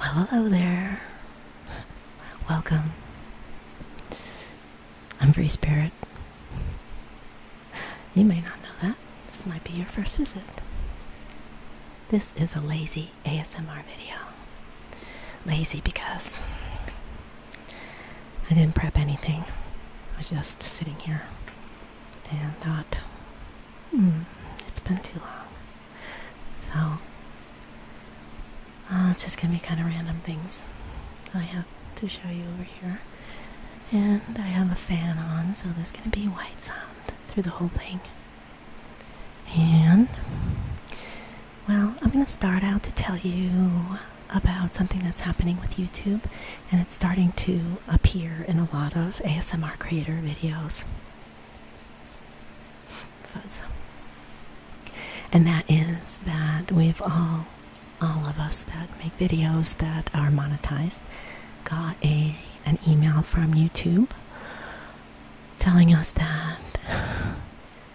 Well, hello there. Welcome. I'm Free Spirit. You may not know that. This might be your first visit. This is a lazy ASMR video. Lazy because I didn't prep anything. I was just sitting here and thought, hmm, it's been too long. So, uh, it's just gonna be kind of random things I have to show you over here. And I have a fan on, so there's gonna be white sound through the whole thing. And, well, I'm going to start out to tell you about something that's happening with YouTube, and it's starting to appear in a lot of ASMR creator videos. And that is that we've all, all of us that make videos that are monetized, got a an email from YouTube telling us that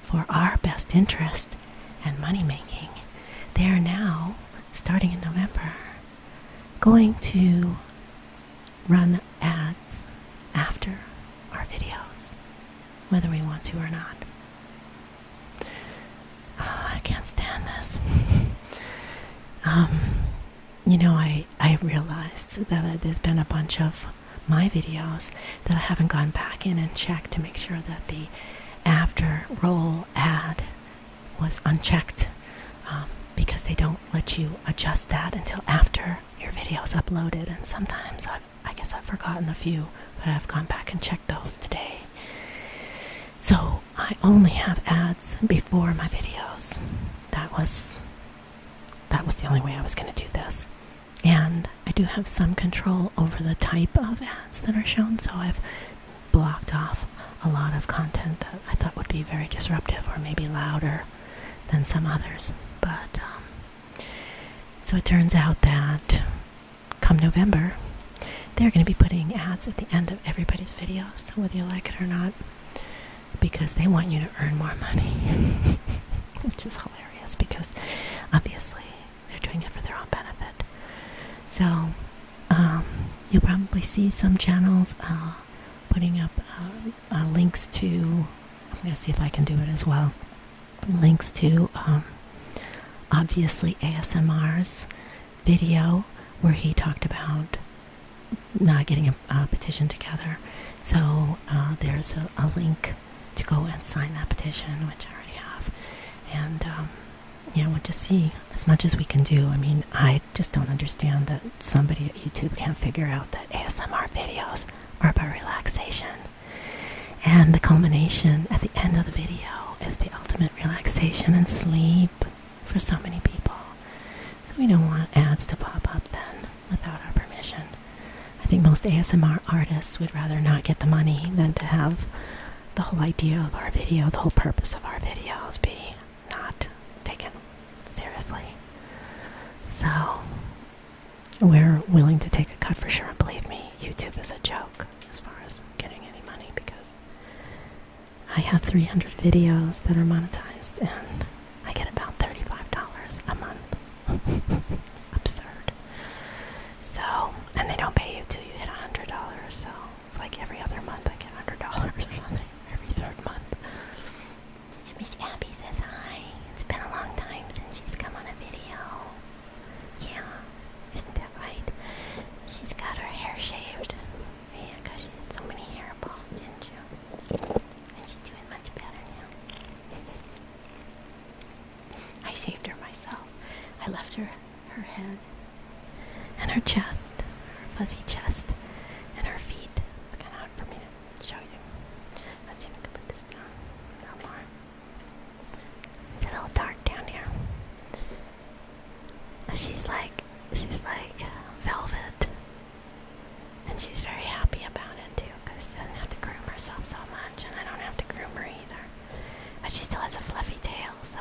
for our best interest and money making, they are now, starting in November, going to run ads after our videos, whether we want to or not. Ah, I can't stand this. Um, you know, I, I realized that there's been a bunch of my videos that I haven't gone back in and checked to make sure that the after roll ad was unchecked um, because they don't let you adjust that until after your video is uploaded. And sometimes I've, I guess I've forgotten a few, but I've gone back and checked those today. So I only have ads before my videos. That was that was the only way I was going to do this. And I do have some control over the type of ads that are shown, so I've blocked off a lot of content that I thought would be very disruptive or maybe louder than some others. But um, so it turns out that come November, they're going to be putting ads at the end of everybody's videos, so whether you like it or not because they want you to earn more money, which is hilarious because obviously they're doing it for their own benefit. So, um, you'll probably see some channels uh, putting up uh, uh, links to, I'm going to see if I can do it as well, links to um, obviously ASMR's video where he talked about not getting a, petition together. So uh, there's a, link to go and sign that petition, which I already have. And um, yeah, we'll just see as much as we can do. I mean, I just don't understand that somebody at YouTube can't figure out that ASMR videos are about relaxation. And the culmination at the end of the video is the ultimate relaxation and sleep for so many people. So we don't want ads to pop up then without our permission. I think most ASMR artists would rather not get the money than to have the whole idea of our video, the whole purpose of our videos be not taken seriously. So we're willing to take a cut for sure and believe me, YouTube is a joke as far as getting any money because I have 300 videos that are monetized, and I get about $35 a month. it's absurd. So, and they don't pay you till you hit $100, so it's like every other month I get $100 or something, every third month. So Miss Abby says hi. It's been a long time since she's come on a video. Yeah, isn't that right? She's got her hair shaved. Yeah, because she had so many hairballs, didn't you? And she's doing much better now. I shaved her myself. I left her her head and her chest, her fuzzy chest, and her feet. It's kind of hard for me to show you. Let's see if I can put this down. No more. It's a little dark down here. She's like she's like uh, velvet, and she's very happy about it too, cause she doesn't have to groom herself so much, and I don't have to groom her either. But she still has a fluffy tail, so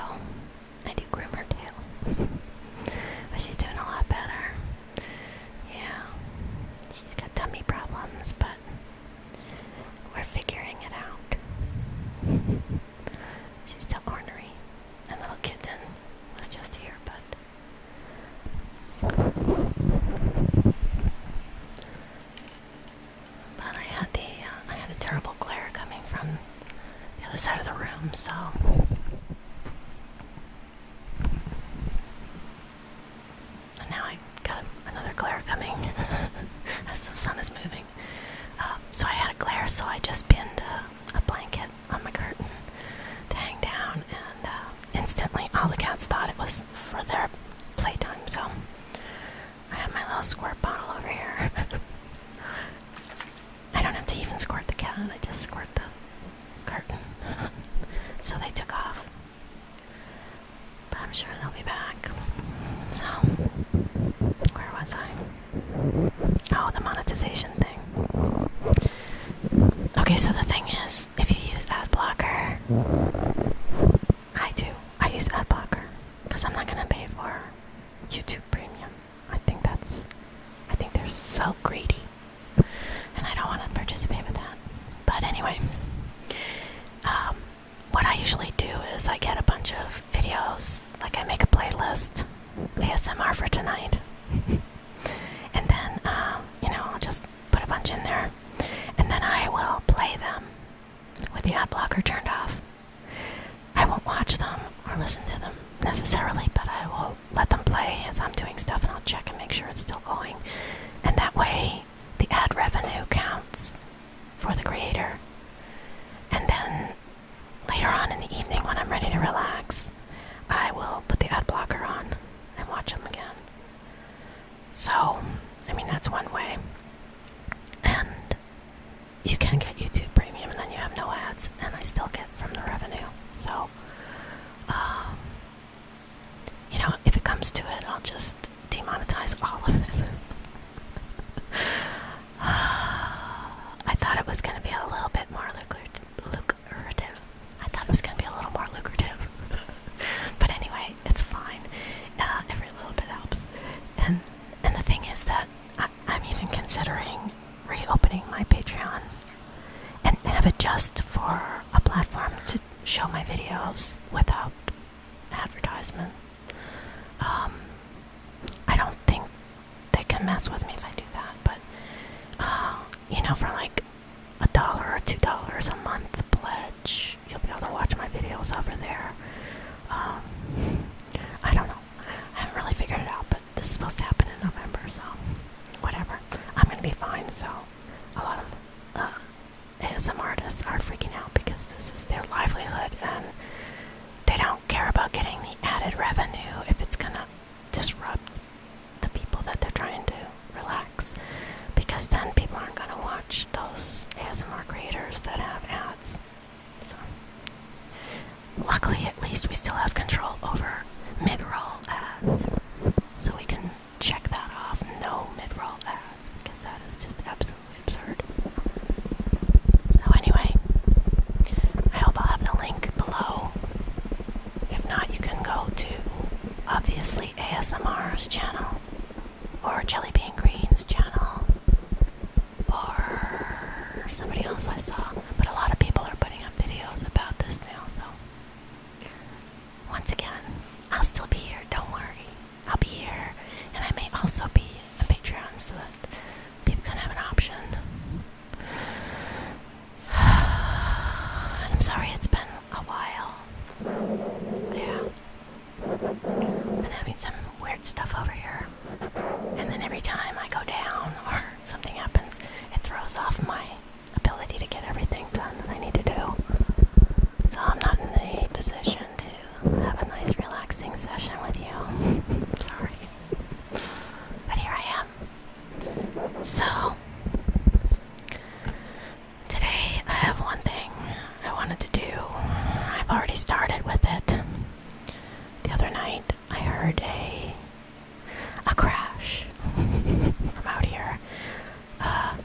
I do groom her tail. but she's doing a lot better. Yeah, she's got tummy problems, but we're figuring it out. she's still ornery a little kitten was just here, but but I had the uh, I had a terrible glare coming from the other side of the room, so. And now I got another glare coming as the sun is moving. Uh, so I had a glare, so I just pinned a blanket on the curtain to hang down, and uh, instantly all the cats thought it was for their playtime. So I have my little squirt bottle over here. I don't have to even squirt the cat, I just squirt the curtain. so they took off. But I'm sure they'll be back. So, where was I? Oh, the monetization thing. Okay, so the thing is, if you use ad blocker, I do. I use ad blocker because I'm not gonna pay for YouTube Premium. I think that's. I think they're so greedy, and I don't want to participate with that. But anyway, um, what I usually do is I get a bunch of videos. Like I make a playlist, ASMR for tonight. and then uh, you know I'll just put a bunch in there, and then I will play them with the ad blocker turned off. I won't watch them or listen to them necessarily, but I will let them play as I'm doing stuff, and I'll check and make sure it's still going, and that way the ad revenue counts for the creator, and then later on in the evening when I'm ready to relax, I will put the ad blocker on and watch them again. So, I mean, that's one way. And you can get YouTube Premium and then you have no ads, and I still get from the revenue. So, um, you know, if it comes to it, I'll just demonetize all of it. I thought it was going to be a little bit more lucrative, lucrative. I thought it was going to be a little more lucrative. but anyway, it's fine. every little bit helps. And and the thing is that I, I'm even considering reopening my Patreon and have it just for a platform to show my videos without advertisement. Um, I don't think they can mess with me if I do that, but uh, you know, for like a dollar or two dollars a month pledge, you'll be able to watch my videos over there. Um, I don't know, I haven't really figured it out, but this is supposed to happen in November, so whatever. I'm gonna be fine, so a lot of uh, some artists are freaking out because this is their livelihood and they don't care about getting the added revenue if it's gonna disrupt the people that they're trying to relax because then people aren't going to watch those ASMR creators that have ads. So, luckily, at least we still have control over mid roll ads. So we can check that off no mid roll ads because that is just absolutely absurd. So, anyway, I hope I'll have the link below if not, you can go to obviously ASMR's channel or Jelly Bean Green's channel or somebody else I saw. But a lot of people are putting up videos about this now, so once again, I'll still be here, don't worry. I'll be here and I may also be a Patreon so that people can have an option. I'm sorry it's been a while. Yeah. Been having some weird stuff over here. And then every time I go down or something happens, it throws off my ability to get everything done that I need to do. So I'm not in the position to have a nice relaxing session with you. sorry. But here I am. So, today I have one thing I wanted to do. I've already started with it. The other night I heard a a crash from out here. Uh,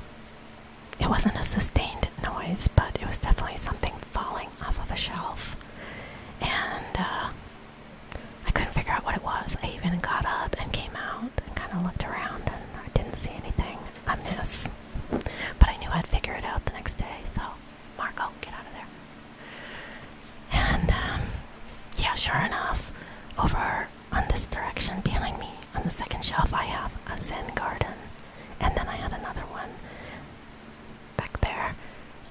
it wasn't a sustained noise, but it was definitely something falling off of a shelf. And uh, I couldn't figure out what it was. I even got up and came out and kind of looked around and I didn't see anything amiss. But I knew I'd figure it out the next day, so Marco, get out of there. And um, yeah, sure enough, over on this direction behind me on the second shelf, I have a Zen garden. And then I had another one back there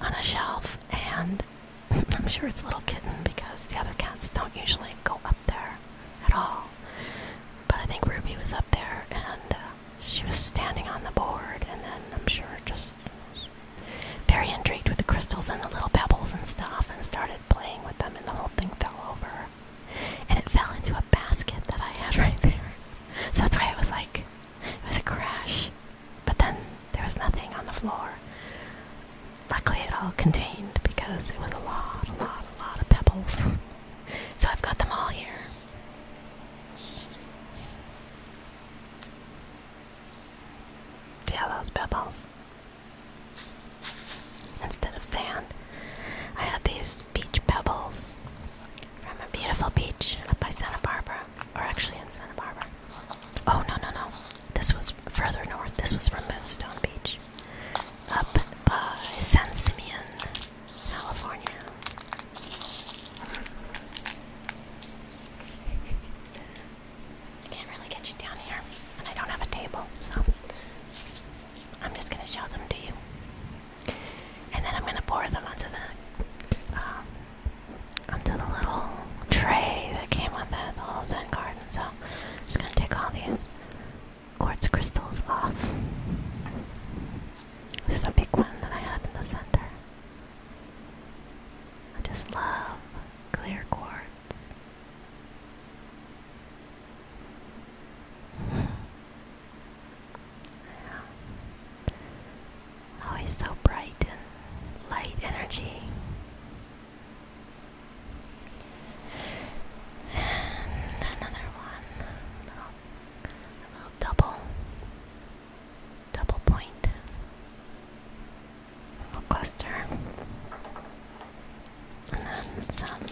on a shelf, and I'm sure it's little kitten because the other cats don't usually go up there at all. But I think Ruby was up there and uh, she was standing on the board, and then I'm sure just very intrigued with the crystals and the little pebbles and stuff and started playing with them, and the whole thing fell over. And it fell into a basket that I had right there. So that's why it was like, it was a crash. But then there was nothing on the floor. Luckily, it all contained because it was a lot, a lot, a lot of pebbles. so I've got them all here. See all those pebbles? Instead of sand, I had these beach pebbles from a beautiful beach up by Santa Barbara, or actually in Santa Barbara. Oh, no, no, no. This was further north. This was from Moonstone Beach, up by San Simeon, California. I can't really get you down here, and I don't have a table, so I'm just gonna show them to you, and then I'm gonna pour them onto the um, onto the little tray that came with it, the little Zen garden. So I'm just gonna take all these quartz crystals off. This is a big one that I had in the center. I just love clear quartz. yeah. Always so bright and light energy. And another one. A little, double. Double point. little cluster. And then some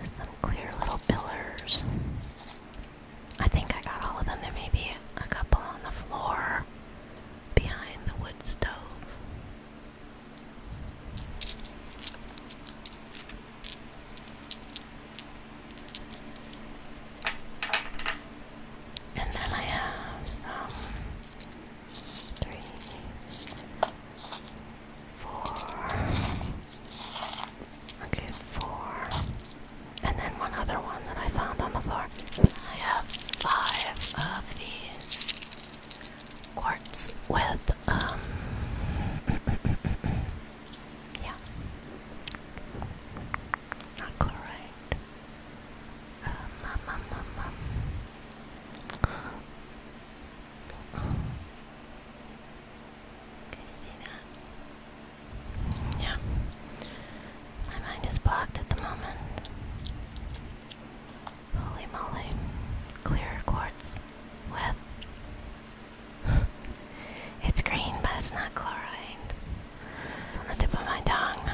just some clear little pillars. I think I got all of them. There may be a couple on the floor behind the wood stove. And then I have some three, four, okay, four, and then one other one that I found on the floor. I have five of these quartz with, um, yeah, not chloride. Um, um, um, Can um, um. you see that? Yeah. My mind is blocked at the moment. Holy moly. Clear quartz. With. it's green, but it's not chloride. on the tip of my tongue.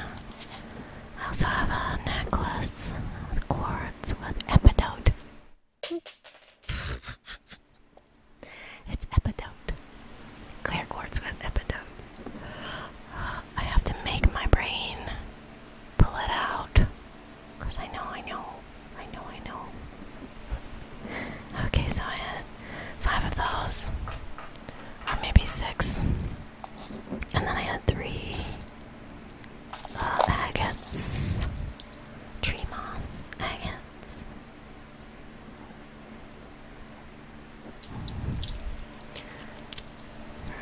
I also have a necklace with quartz with epidote. it's epidote. Clear quartz with epidote. I have to make my brain pull it out. Because I know, I know, I know, I know. Okay, so I had five of those. Or maybe six. And then I had three uh, agates. Tree moss, agates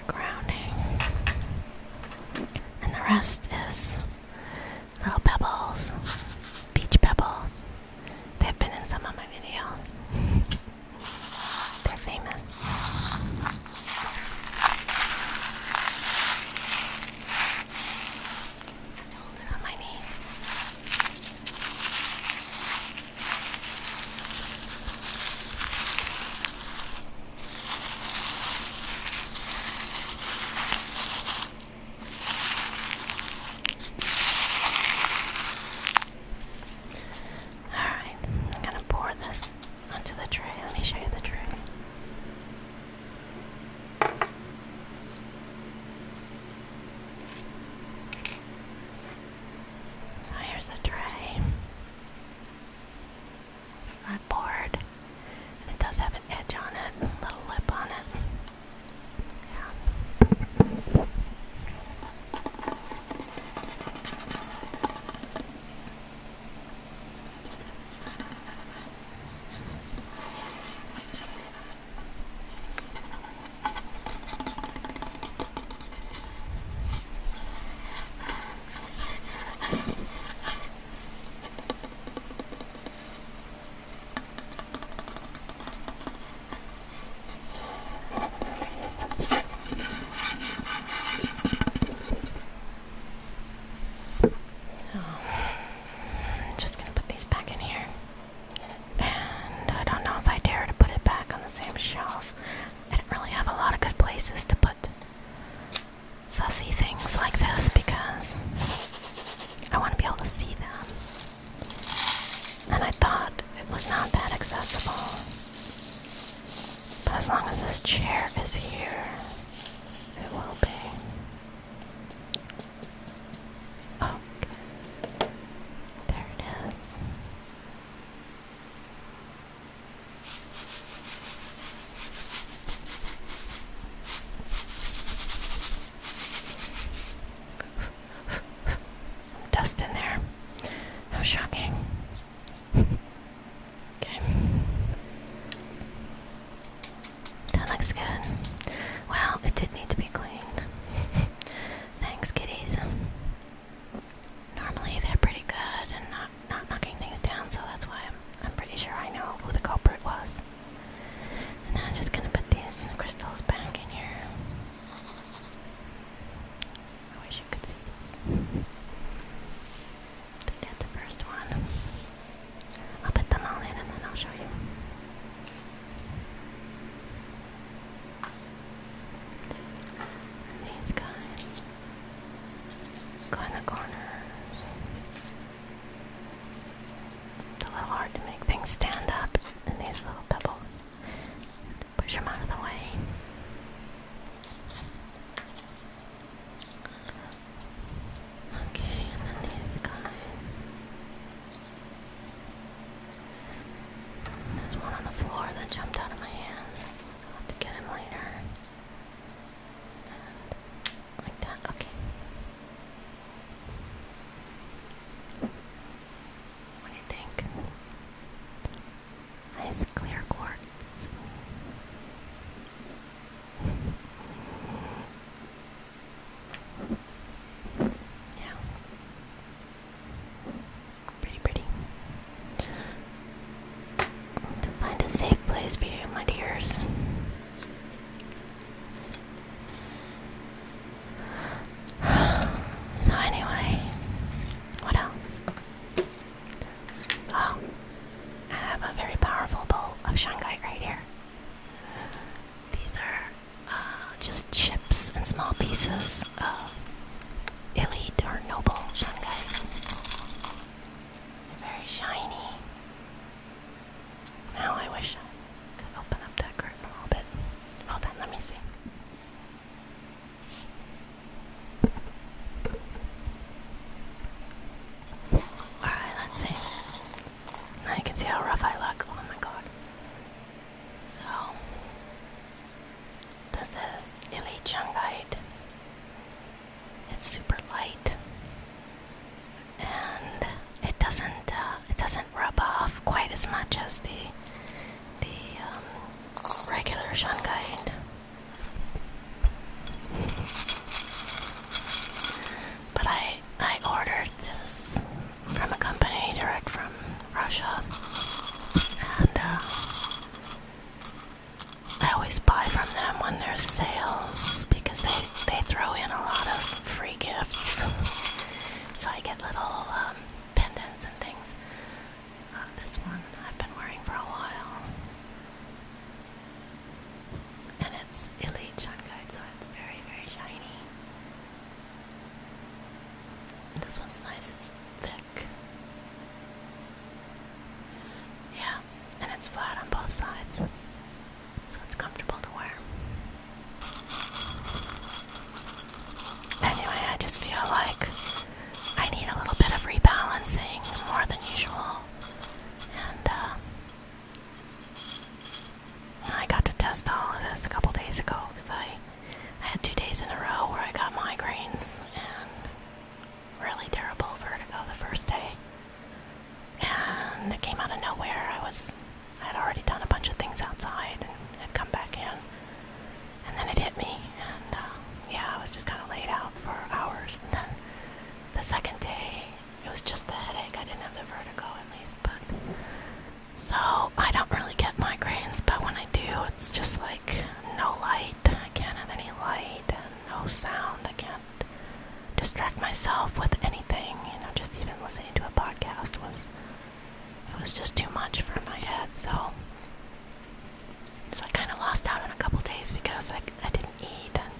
grounding. And the rest is little pebbles, beach pebbles. They've been in some of my videos. They're famous. I have to hold it on my knees. Alright, I'm gonna pour this onto the tray. Let me show you the tray. Oh, here's the tray. My board. And it does have an edge on it, a little lip on it. Yeah. Oh. gonna put back I I don't know if dare it on the same shelf. I do not really have a lot of good places to put fussy things like this because I want to be able to see them. And I thought it was not that accessible. But as long as this chair is here, it will be. Oh, okay. There it is. Some dust in there. How shocking. okay. That looks good. Well, it did need to be cleaned. Thanks, kitties. Normally they're pretty good and not not knocking things down, so that's why I'm I'm pretty sure I know who the culprit was. And I'm just gonna put these crystals back in here. I wish you could see these. that's the first one. I'll put them all in and then I'll show you. And these guys go in the corners. It's a little hard to make things stand up in these little pebbles. Push them out of the way. Okay, and then these guys. There's one on the floor that jumped out of my hands, to get him later. like that, okay. What do you think? Nice clear quartz. Yeah. Pretty, pretty. To find a safe place for my dears. so anyway, what else? Oh, I have a very powerful bowl of Shanghai right here. These are uh, just chips and small pieces of elite or noble Shanghai. They're very shiny. Now I wish I could open up that curtain a little bit. Hold on, let me see. Alright, let's see. Now you can see how rough I look. Oh my god. So, this is Ili Chungite. It's super light, and it doesn't uh, it doesn't rub off quite as much as the the um, regular shungite. But I I ordered this from a company direct from Russia, and uh, I always buy from them when there's sales because they they throw in a lot of free gifts. so I get little um, pendants and things. Uh, this one I've been wearing for a while, and it's Elite Shankai, so it's very very shiny. This one's nice. It's thin yeah, and it's flat on both sides, so it's comfortable to wear. Anyway, I just feel like I need a little bit of rebalancing more than usual, and uh, I got to test all of this a couple days ago because I I had two days in a row where I got migraines and really terrible vertigo the first day. And it came out of nowhere. I was I had already done a bunch of things outside and had come back in. And then it hit me and uh, yeah, I was just kind of laid out for hours. And then the second day, it was just the headache. I didn't have the vertigo at least, but so I don't really get migraines, but when I do, it's just like no light I can't have any light and no sound. I can't distract myself with anything. You know, just even listening to a podcast was it was just too much for my head. So so I kind of lost out in a couple days because I I didn't eat and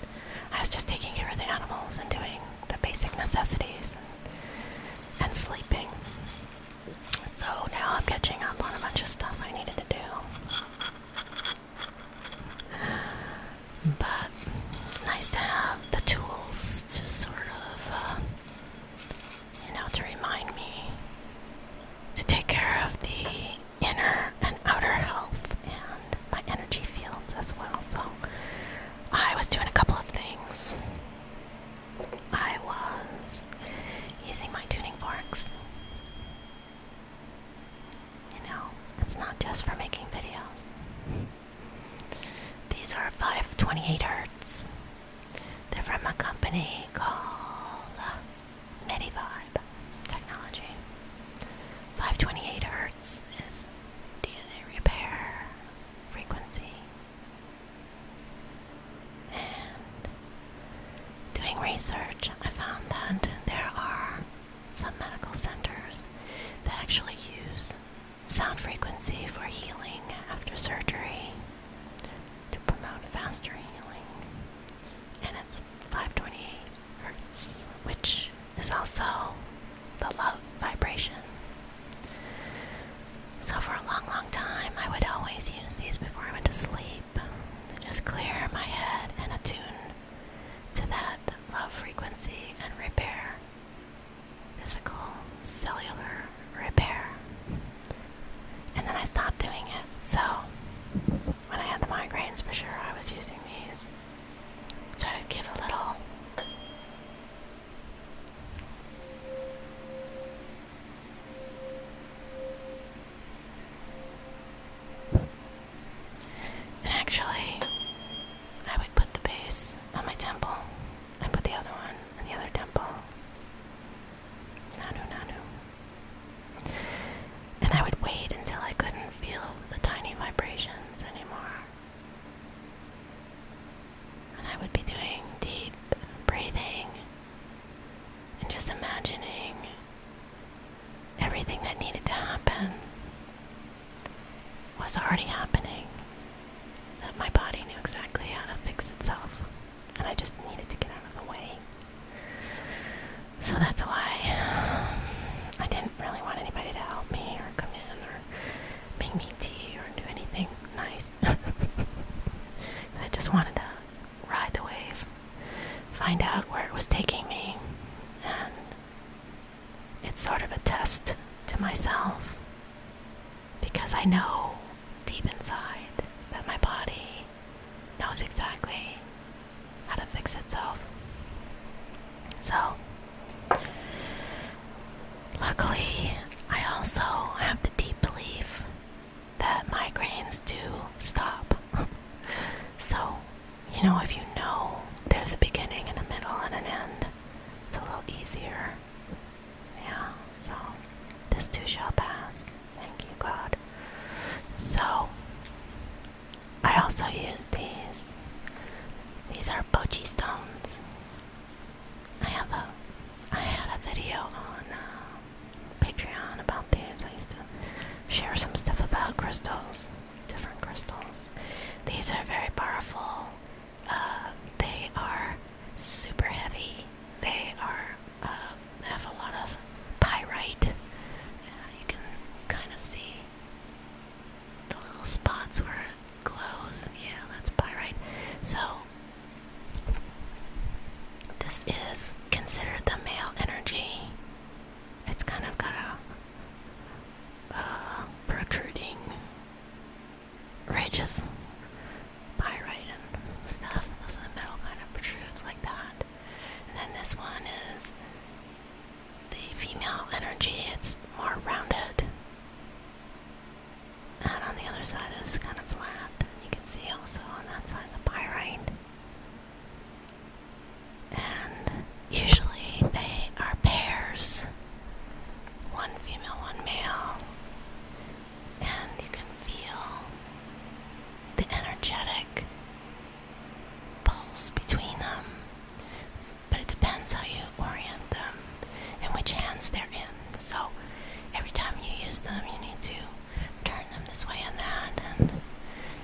I was just taking care of the animals and doing the basic necessities and sleeping. So now I'm catching up on a bunch of stuff I needed to do. But it's nice to have the tools to sort of, uh, you know, to remind me to take care of the inner and outer health and my energy fields as well. So I was doing a couple of things. I was using my tuning forks. You know, it's not just for making videos. These are 528 Hertz. They're from a company called uh, Vibe Technology. 528 Hertz is DNA repair frequency. And doing research, I found that there are some medical centers that actually use sound frequency for healing after surgery to promote faster healing. And it's 528 hertz, which is also the love vibration. So, for a long, long time, I would always use these before I went to sleep to just clear my head and attune to that love frequency and repair. Physical, cellular repair. And then I stopped doing it. So, when I had the migraines, for sure, I was using these. So I'd give a little. And actually, I would put the base on my temple and put the other one on the other temple. Nanu, nanu. And I would wait until I couldn't feel the tiny vibrations anymore. And I would be doing deep breathing and just imagining everything that needed to happen was already happening. That my body knew exactly how to fix itself, and I just needed to get out of the way. So that's why um, I didn't really want anybody to help me or come in or make me tea or do anything nice. I just wanted to ride the wave, find out where it was taking me, and it's sort of a test to myself because I know deep inside that my body knows exactly how to fix itself. So, luckily, I also have the deep belief that migraines do stop. so, you know, if you know there's a beginning and a middle and an end, it's a little easier. Yeah, so this too shall pass. Thank you, God. So, I also use these. These are bochi stones. I have a, I had a video on uh, Patreon about this. I used to share some stuff about crystals, different crystals. These are very powerful. Uh, they are super heavy. They are uh, have a lot of pyrite. you can kind of see the little spots where it glows. Yeah, that's pyrite. So this is considered the male energy. It's kind of got a protruding ridge of pyrite and stuff. Those are the metal kind of protrudes like that. And then this one is the female energy. It's more rounded. And on the other side is kind of flat. you can see also on that side the pyrite. And usually they are pairs one female, one male. And you can feel the energetic pulse between them. But it depends how you orient them and which hands they're in. So every time you use them, you need to turn them this way and that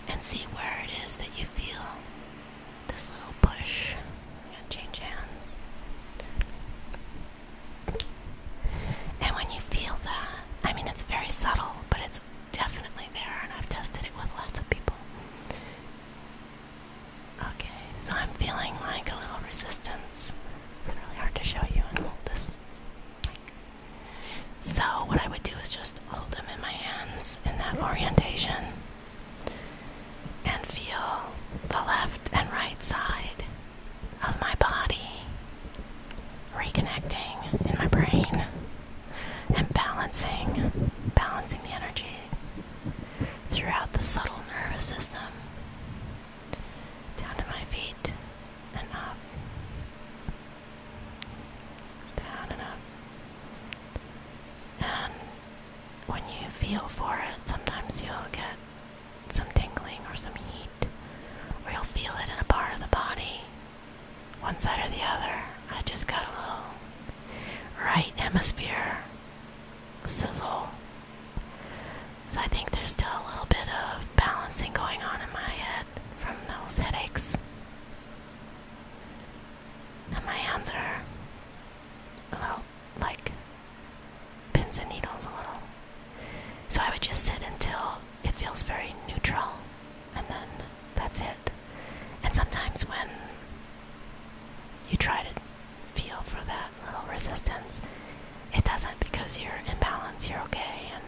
and see where it is that you feel this little push. i change hands. And when you feel that, I mean it's very subtle, but it's definitely there and I've tested it with lots of people. Okay, so I'm feeling like a little resistance. It's really hard to show you and hold this so, what I would do is just hold them in my hands in that orientation and feel the left and right side of my body reconnecting in my brain and balancing, balancing the energy throughout the subtle nervous system down to my feet and up down and up. And when you feel for it, sometimes you'll get some tingling or some heat, or you'll feel it in a part of the body, one side or the other. I just got a little right hemisphere sizzle. So I think there's still a little bit of balancing going on in my head from those headaches. And my hands are a little like pins and needles, a little. So I would just sit until it feels very neutral, and then that's it. And sometimes when you try to feel for that little resistance, it doesn't because you're in balance, you're okay, and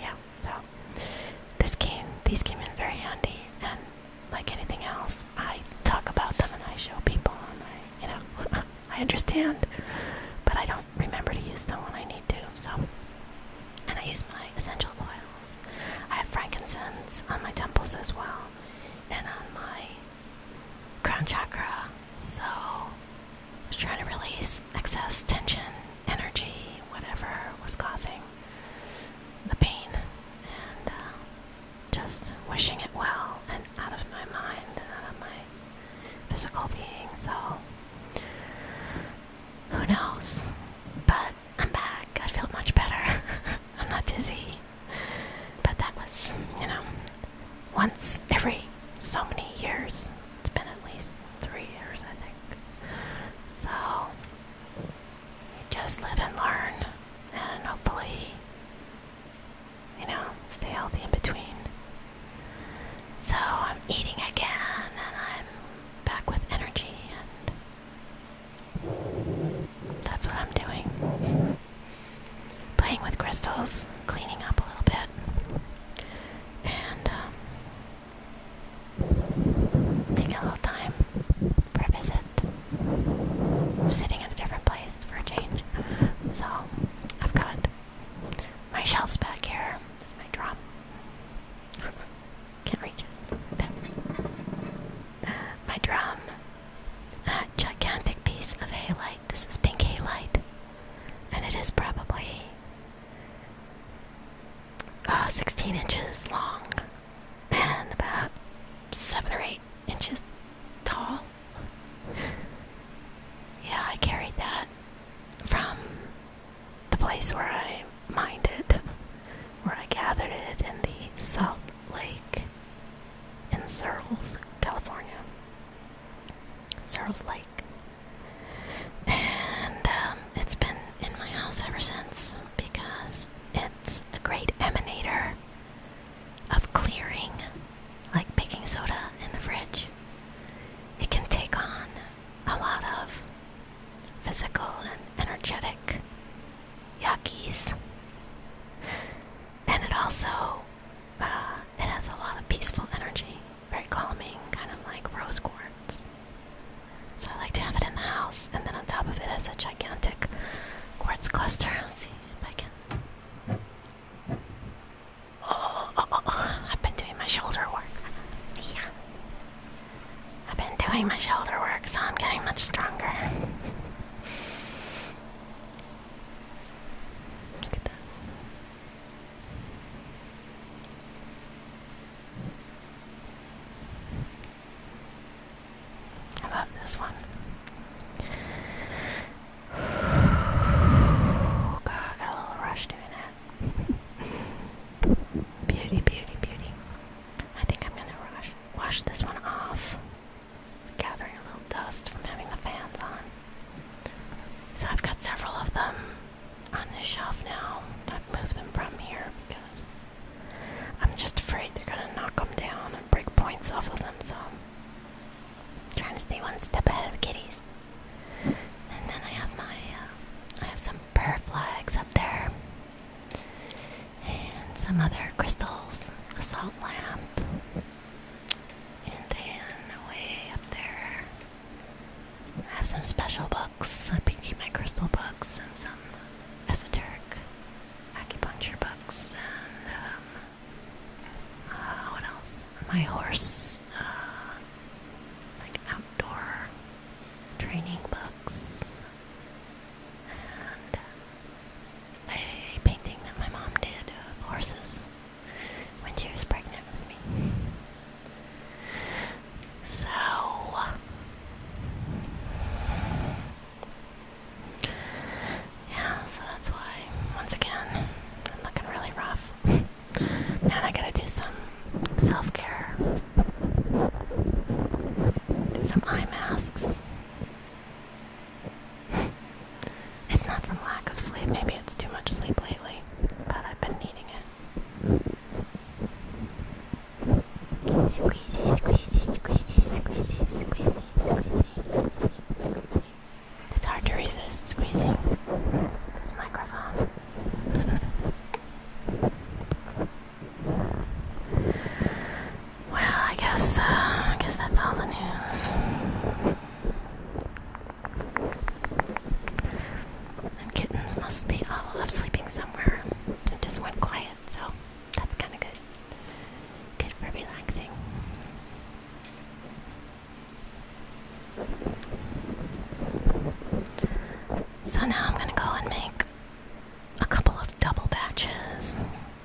yeah, so this came these came in very handy and like anything else, I talk about them and I show people and I you know I understand but I don't remember to use them when I need to, so and I use my essential oils. I have frankincense on my temples as well and on my crown chakra. So was trying to release excess tension, energy, whatever was causing the pain, and uh, just wishing it well and out of my mind out of my physical being. So, who knows? But I'm back. I feel much better. I'm not dizzy. But that was, you know, once every so many years. It's been at least three years, I think. So, you just live and learn, and hopefully, you know, stay healthy in between. So, I'm eating again, and I'm back with energy, and that's what I'm doing. Playing with crystals, cleaning up a little bit, and um, Take a little time for a visit. I'm sitting in a different place for a change. So, I've got my shelves back here. This is my drop. Can't reach it. Uh, my drum. That gigantic piece of halite. This is pink halite. And it is probably uh, 16 inches long and about 7 or 8 inches tall. yeah, I carried that from the place where I mined it, where I gathered it in the Salt Lake in Searles, California. Searles Lake. And um, it's been in my house ever since because it's a great emanator of clearing, like baking soda in the fridge. It can take on a lot of physical and energetic yuckies. And it also uh, it has a lot of peaceful energy very calming, kind of like rose quartz. So I like to have it in the house, and then on top of it has a gigantic quartz cluster. Let's see if I can. Oh, oh, oh, oh. I've been doing my shoulder work. Yeah. I've been doing my shoulder work, so I'm getting much stronger. Look at this. I love this one. God, I got a little rush doing that. beauty, beauty, beauty. I think I'm gonna wash this one off. It's gathering a little dust from having the fans on. So I've got several of them on the shelf now. I've moved them from here because I'm just afraid they're gonna knock them down and break points off of them, so I'm trying to stay one step ahead of kitties. And then I have my, uh, I have some prayer flags up there, and some other crystals, a salt lamp, and then way up there I have some special books. I keep my crystal books and some esoteric acupuncture books and um, uh, what else? My horse, uh, like outdoor training books and a painting that my mom did of horses when she was pregnant with me. So yeah, so that's why once again I'm looking really rough. Man, I gotta do some self-care. Do some eye masks. it's not from lack of sleep, maybe it's too much sleep lately, but I've been needing it. Squeeze it, squeeze it, squeeze it, squeeze it, squeeze it, squeeze it. It's hard to resist squeezing this microphone. Well, I guess uh, I guess that's all the news. And kittens must be all off sleeping somewhere. It just went quiet, so that's kind of good. Good for relaxing. So now I'm gonna go and make a couple of double batches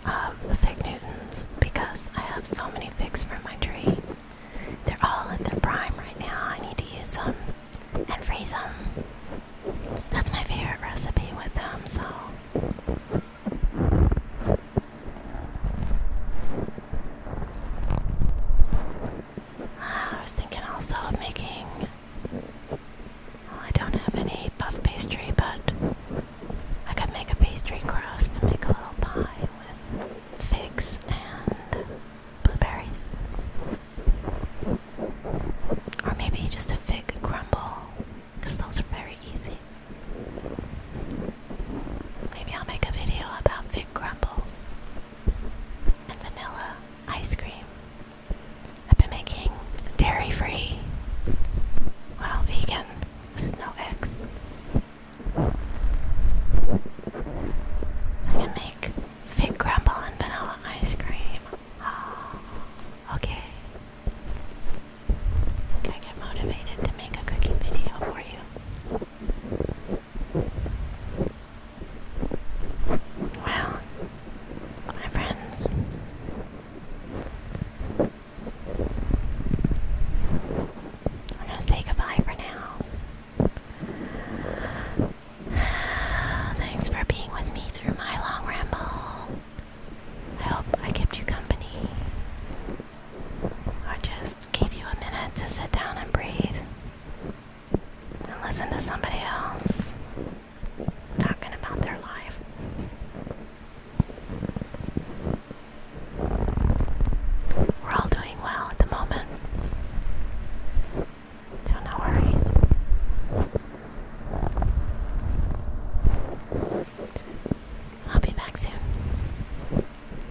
of fig newtons because I have so many figs from my tree. They're all at their prime right now. I need to use them and freeze them. That's my favorite recipe with them, so. Ah, I was thinking also of making. I don't have any puff pastry, but I could make a pastry crust to make a little pie with figs and blueberries. Or maybe just a fig crumble, because those are very easy. Maybe I'll make a video about fig crumbles and vanilla ice cream. I've been making dairy free, well, vegan, there's no eggs. I can make Fit crumble and vanilla ice cream. Oh, okay. I get motivated to make a cooking video for you. Well, my friends. I'm gonna say goodbye for now. Thanks for being with me through my long ramble. I hope I kept you company. I just gave you a minute to sit down and breathe and listen to somebody else talking about their life. We're all doing well at the moment. So no worries. I'll be back soon.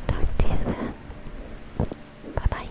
Talk to you then. Bye bye.